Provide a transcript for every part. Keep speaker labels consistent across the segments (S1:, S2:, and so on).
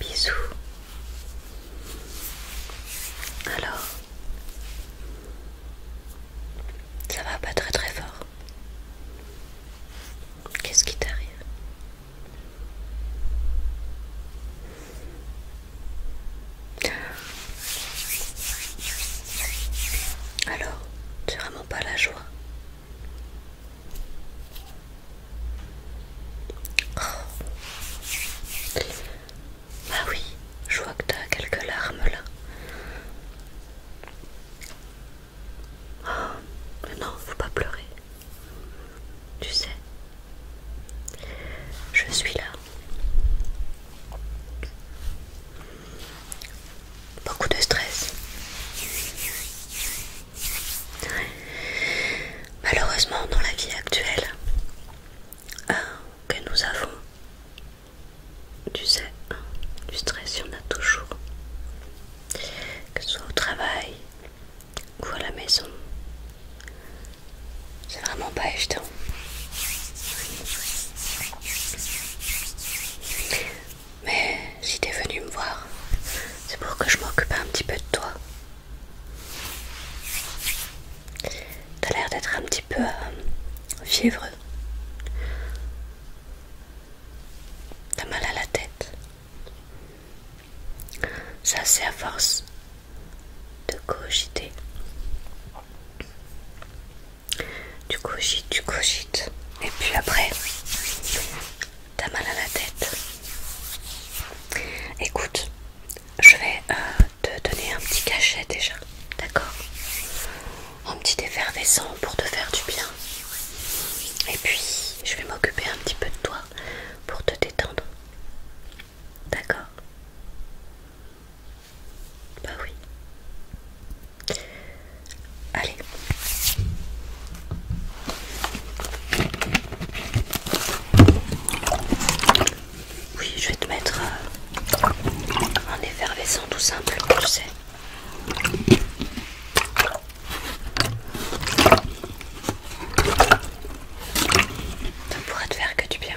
S1: Bisous. Alors, ça va pas très très fort. Qu'est-ce qui t'arrive Alors, tu vraiment pas la joie. Bah oui, je vois que tu as quelques larmes là. Ah, mais non, faut pas pleurer. Tu sais, je suis là. Beaucoup de stress. Malheureusement, dans la vie actuelle euh, que nous avons, tu sais, du stress, il y en a toujours. Que ce soit au travail ou à la maison. C'est vraiment pas évident. Mais si t'es venu me voir, c'est pour que je m'occupe un petit peu de toi. T'as l'air d'être un petit peu euh, fiévreux. T'as mal à la tête. Ça, c'est à force de cogiter. Tu cogites, tu cogites. Et puis après, T'as mal à la tête. Écoute, je vais euh, te donner un petit cachet déjà, d'accord Un petit effervescent pour te faire du bien. Et puis, je vais m'occuper un petit peu de toi pour te détendre. D'accord Bah oui. Allez, oui, je vais te mettre en euh, effervescent tout simple, tu sais. Ça pourra te faire que du bien.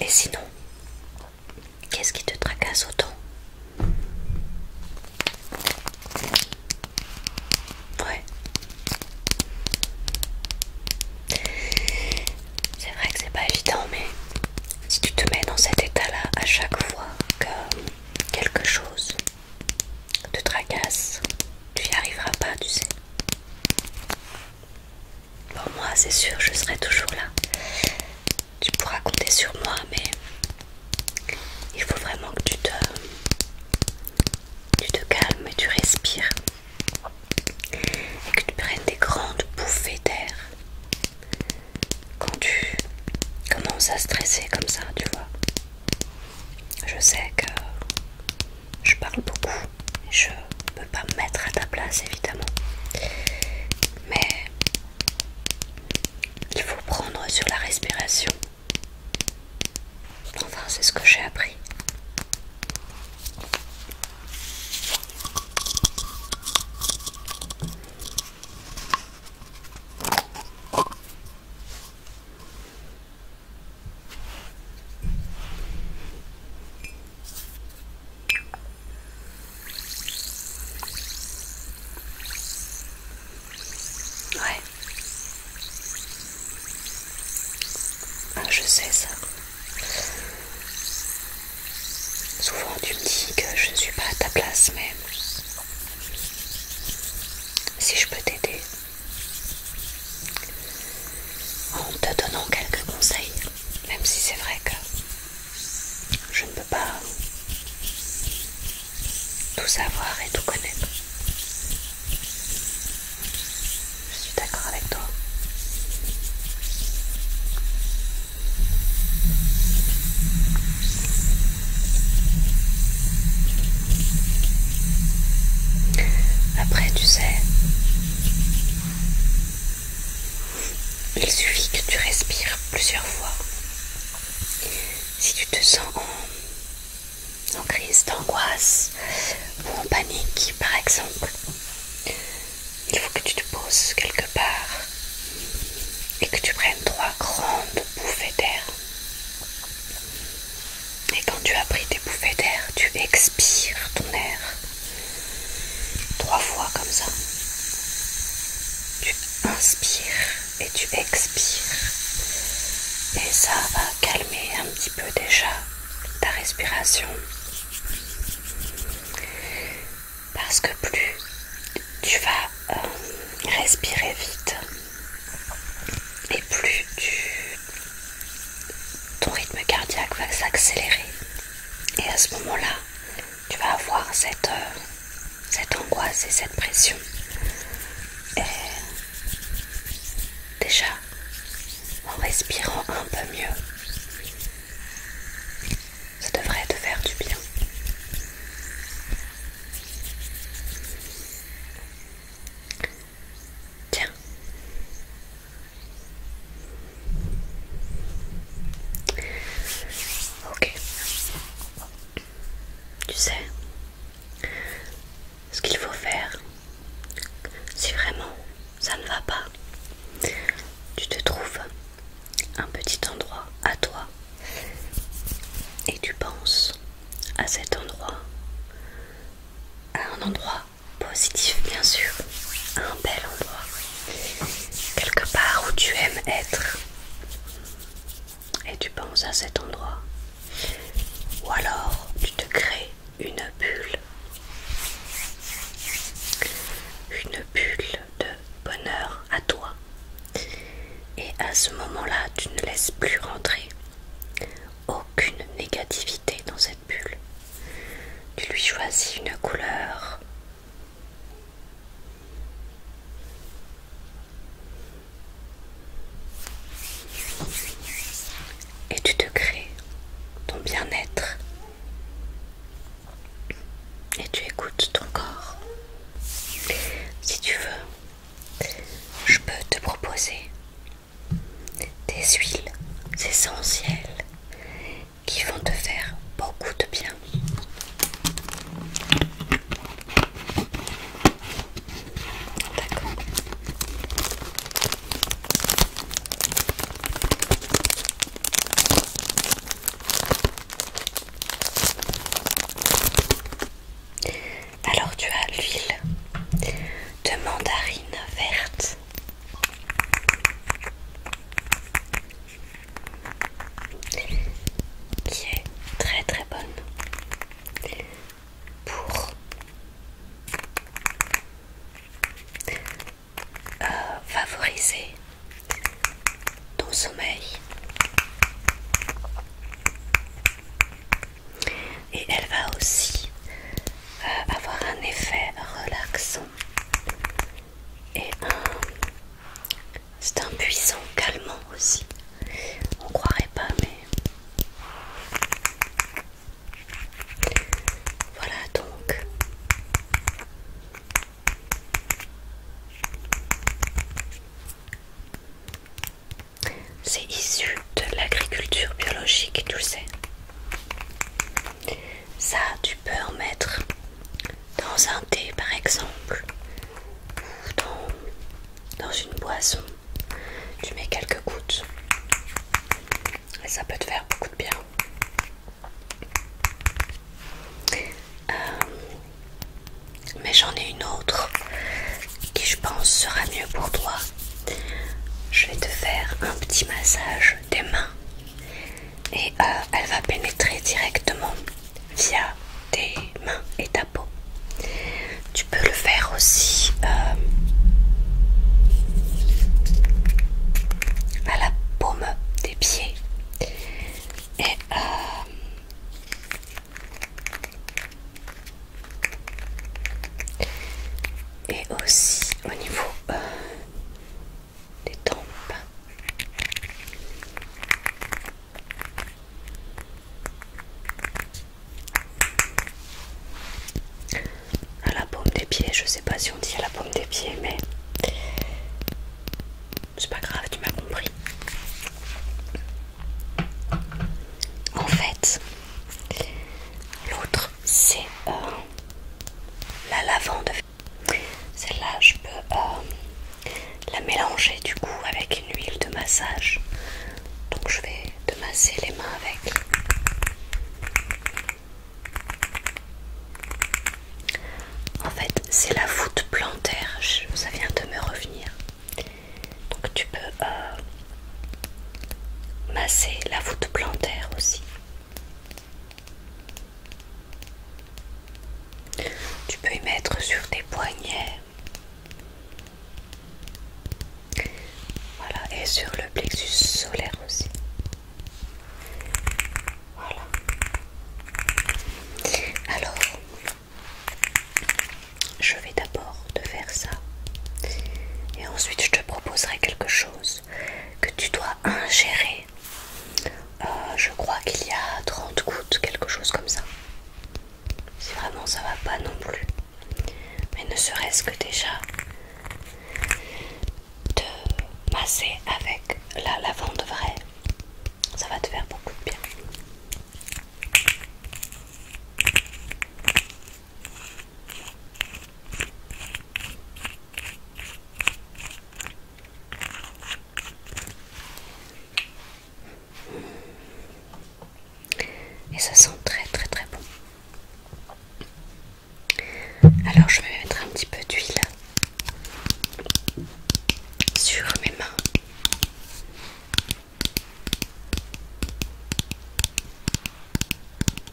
S1: Et sinon, qu'est-ce qui te tracasse autant Ouais. C'est vrai que c'est pas évident, mais si tu te mets dans cet état-là à chaque fois que quelque chose te tracasse tu y arriveras pas, tu sais. Pour moi, c'est sûr, je serai toujours là. Tu pourras compter sur moi, mais il faut vraiment que tu te, tu te calmes et tu respires. Et que tu prennes des grandes bouffées d'air. Quand tu commences à stresser comme ça, tu vois. Je sais que je parle beaucoup, je ne peux pas me mettre à ta place évidemment, mais il faut prendre sur la respiration. Enfin, c'est ce que j'ai appris. Ouais. Ah, je sais ça. Souvent tu me dis que je ne suis pas à ta place, mais si je peux t'aider, en te donnant quelques conseils, même si c'est vrai que je ne peux pas tout savoir et tout connaître. Je suis d'accord avec toi. Après, tu sais, il suffit que tu respires plusieurs fois. Si tu te sens en, crise d'angoisse ou en panique, par exemple, il faut que tu te poses quelque part et que tu prennes trois grandes bouffées d'air. Et quand tu as pris tes bouffées d'air, tu expires ton air. Trois fois comme ça. Tu inspires et tu expires. Et ça va calmer un petit peu déjà ta respiration. Parce que plus tu vas euh, respirer vite, et plus tu... ton rythme cardiaque va s'accélérer. Et à ce moment-là, tu vas avoir cette, euh, cette angoisse et cette pression. Et déjà, en respirant un peu mieux, ça devrait te faire du bien. Tiens. Ok. Tu sais, ce qu'il faut faire, si vraiment ça ne va pas, tu te trouves un petit endroit à toi et tu penses à cet endroit à un endroit positif bien sûr, un bel endroit, quelque part où tu aimes être et tu penses à cet endroit. Ou alors tu te crées une bulle, une bulle de bonheur à toi. Et à ce moment-là, tu ne laisses plus rentrer aucune négativité dans cette bulle. Tu lui choisis une couleur. Et tu te crées ton bien-être. Et tu écoutes ton corps. Si tu veux, je peux te proposer des huiles essentielles qui vont te faire beaucoup de bien. Alors tu as l'huile de mandarine verte. Qui est très très bonne pour euh, favoriser ton sommeil et elle va aussi euh, avoir un effet relaxant et c'est un puissant calmant aussi on croirait pas mais voilà donc c'est issu de l'agriculture biologique, tu sais. Ça, tu peux en mettre dans un thé par exemple, ou dans, une boisson. Tu mets quelques gouttes et ça peut te faire beaucoup de bien. Euh, mais j'en ai une autre qui je pense sera mieux pour toi. Je vais te faire un petit massage des mains et euh, elle va pénétrer directement via tes mains et ta peau. Tu peux le faire aussi euh, à la paume des pieds et euh, et aussi au niveau euh, des tempes. À la paume des pieds, je sais pas si on dit à la paume des pieds, mais c'est pas grave, tu m'as compris. En fait, l'autre c'est euh, la lavande. Celle-là, je peux euh, la mélanger du coup avec une huile de massage. Donc je vais te masser les mains avec. En fait, c'est la voûte plantaire, ça vient de me revenir. Donc tu peux euh, masser la voûte plantaire aussi. Tu peux y mettre sur tes poignets. Voilà, et sur le plexus solaire aussi. Voilà. Alors, je vais de faire ça. Et ensuite, je te proposerai quelque chose que tu dois ingérer. Euh, je crois qu'il y a 30 gouttes, quelque chose comme ça. Si vraiment ça va pas non plus. Mais ne serait-ce que déjà te masser avec la lavande vraie, ça va te faire beaucoup de bien. Et ça sent très très très bon. Alors je vais mettre un petit peu d'huile sur mes mains.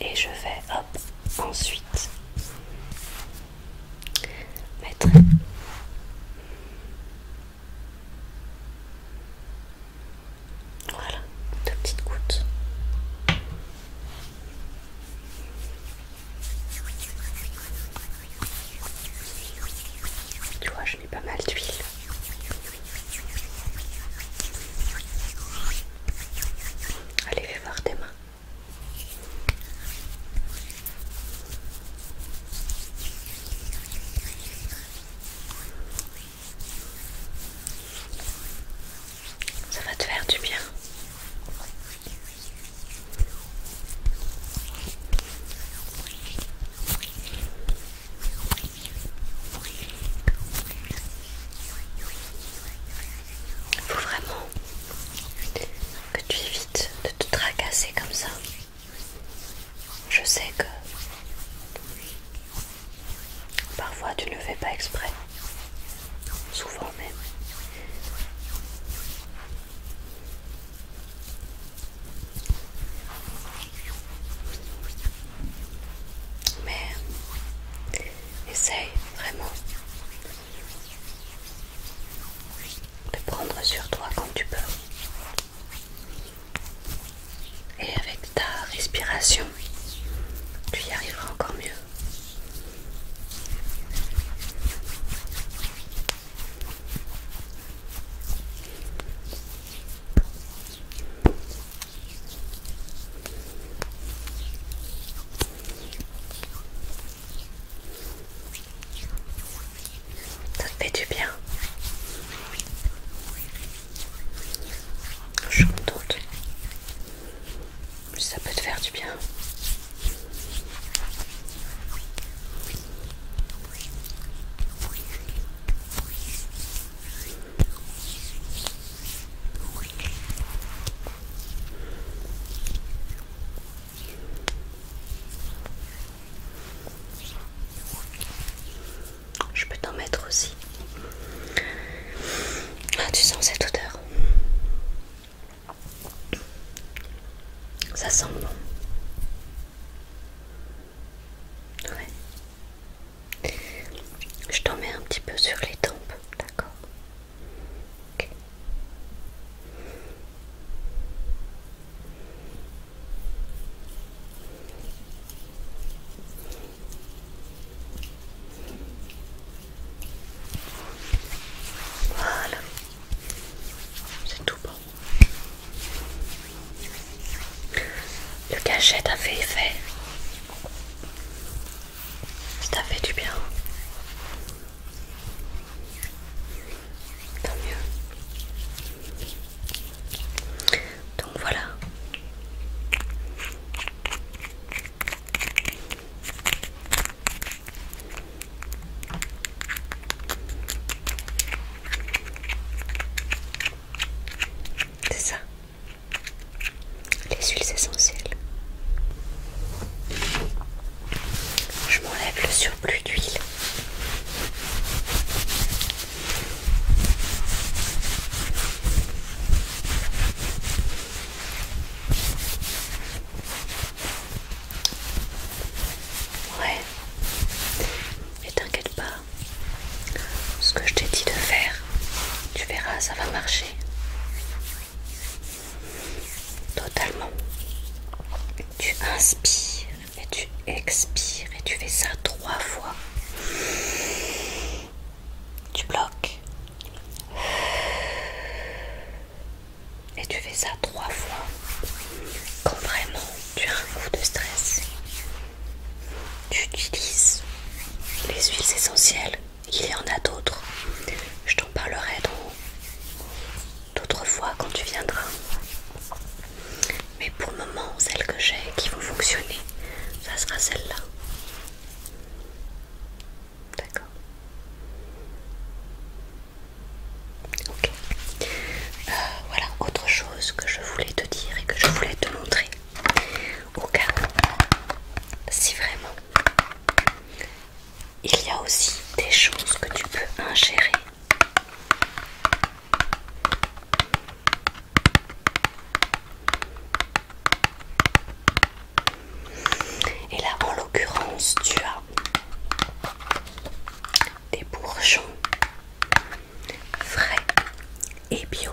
S1: Et je vais hop ensuite mettre voilà deux petites gouttes. Tu vois, je n'ai pas mal d'huile. Allez, fais voir tes mains. Ça va te faire du bien. Il Faut vraiment que tu évites de te tracasser comme ça. Je sais que parfois tu ne le fais pas exprès, souvent même. Mais essaye vraiment de prendre sur toi quand tu peux. Et avec ta respiration, tu y arriveras encore mieux. Ça te fait du bien. Je suis Ça peut te faire du bien. Je peux t'en mettre aussi. Ah, tu sens cette odeur. Ça sent bon. Je t'en mets un petit peu sur les tempes, d'accord Voilà, c'est tout bon. Le cachet a fait effet. Ça fait du bien. Tant mieux. Donc voilà. C'est ça les huiles essentielles. Je m'enlève le surplus d'huile. Ouais. Et t'inquiète pas, ce que je t'ai dit de faire. Tu verras, ça va marcher. Totalement. Tu inspires et tu expires et tu fais ça trois fois. Tu bloques. Et tu fais ça trois fois. Quand vraiment tu as un coup de stress. Tu utilises les huiles essentielles. Il y en a d'autres. Je t'en parlerai d'autres fois quand tu viendras. Mais pour le moment, celles que j'ai qui vont fonctionner, ça sera celle-là. D'accord Ok. Euh, voilà, autre chose que je voulais te dire et que je voulais te montrer au si vraiment il y a aussi des choses que tu peux ingérer. Et là, en l'occurrence, tu as des bourgeons frais et bio.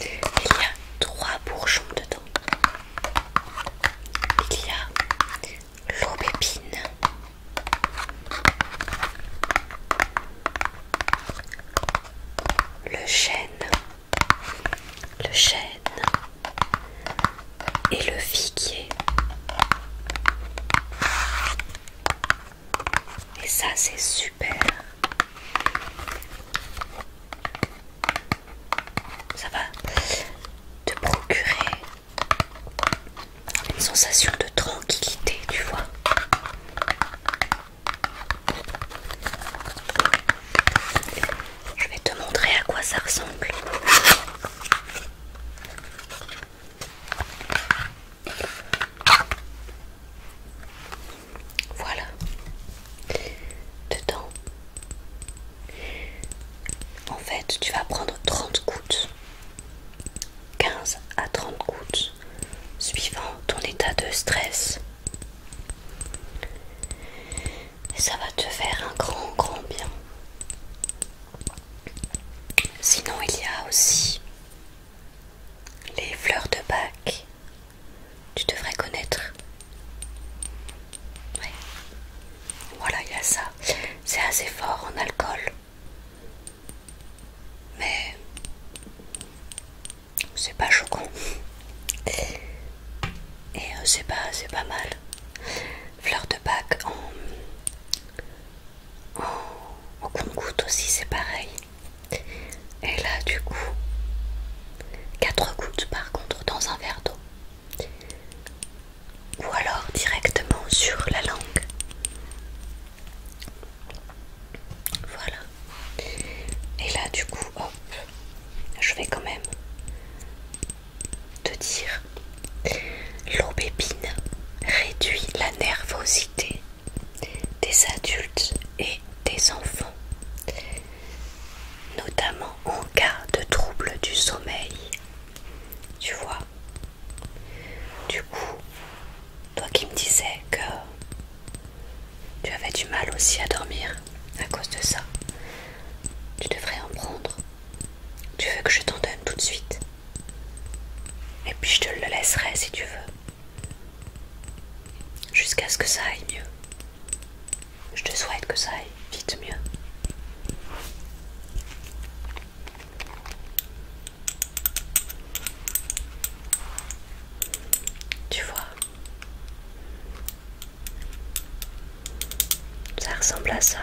S1: Il y a trois bourgeons dedans. Il y a l'aubépine, le chêne, le chêne, et le figuier. Et ça, c'est super. Ça va te procurer une sensation de tranquillité, tu vois. Je vais te montrer à quoi ça ressemble. Voilà. Dedans. En fait, tu vas prendre 30 gouttes. 15 à 30 gouttes suivant ton état de stress. Et ça va te faire un grand grand bien. Sinon, il y a aussi les fleurs de bac. Tu devrais connaître. Voilà, il y a ça. C'est assez fort en alcool. Mais c'est pas choquant. Et euh, c'est pas, pas mal. Fleurs de bac en, au, on compte aussi c'est pareil et là du coup 4 gouttes par contre dans un verre d'eau ou alors directement sur la langue voilà et là du coup hop je vais quand même te dire l'aubépine réduit la nervosité des adultes et des enfants, notamment en cas de trouble du sommeil. Tu vois Du coup, toi qui me disais que tu avais du mal aussi à dormir à cause de ça, tu devrais en prendre tu veux que je t'en donne tout de suite Et puis je te le laisserai si tu veux. Jusqu'à ce que ça aille mieux. Je te souhaite que ça aille vite mieux. Tu vois Ça ressemble à ça.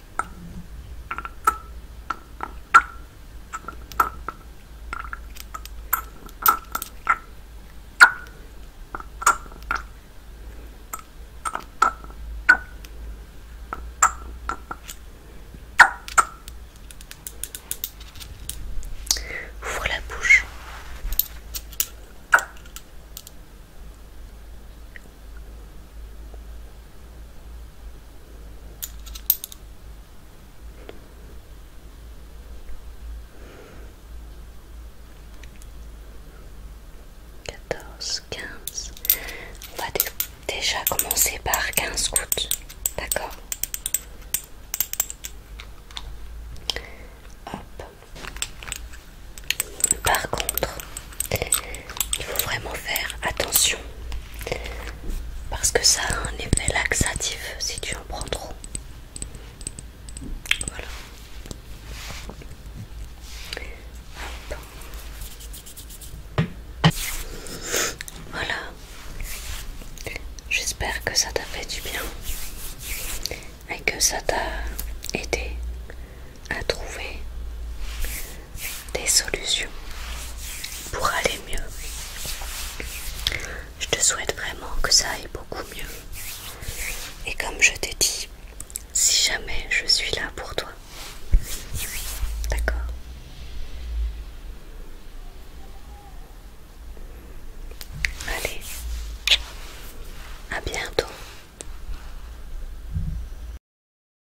S1: Ouvre la bouche. 14, 15. On va déjà commencer par 15 gouttes. D'accord Par contre, il faut vraiment faire attention parce que ça a un effet laxatif si tu en prends trop. Voilà. Voilà. J'espère que ça t'a fait du bien et que ça t'a aidé à trouver des solutions pour aller mieux. Je te souhaite vraiment que ça aille beaucoup mieux. Et comme je t'ai dit, si jamais je suis là pour toi, d'accord Allez, à bientôt.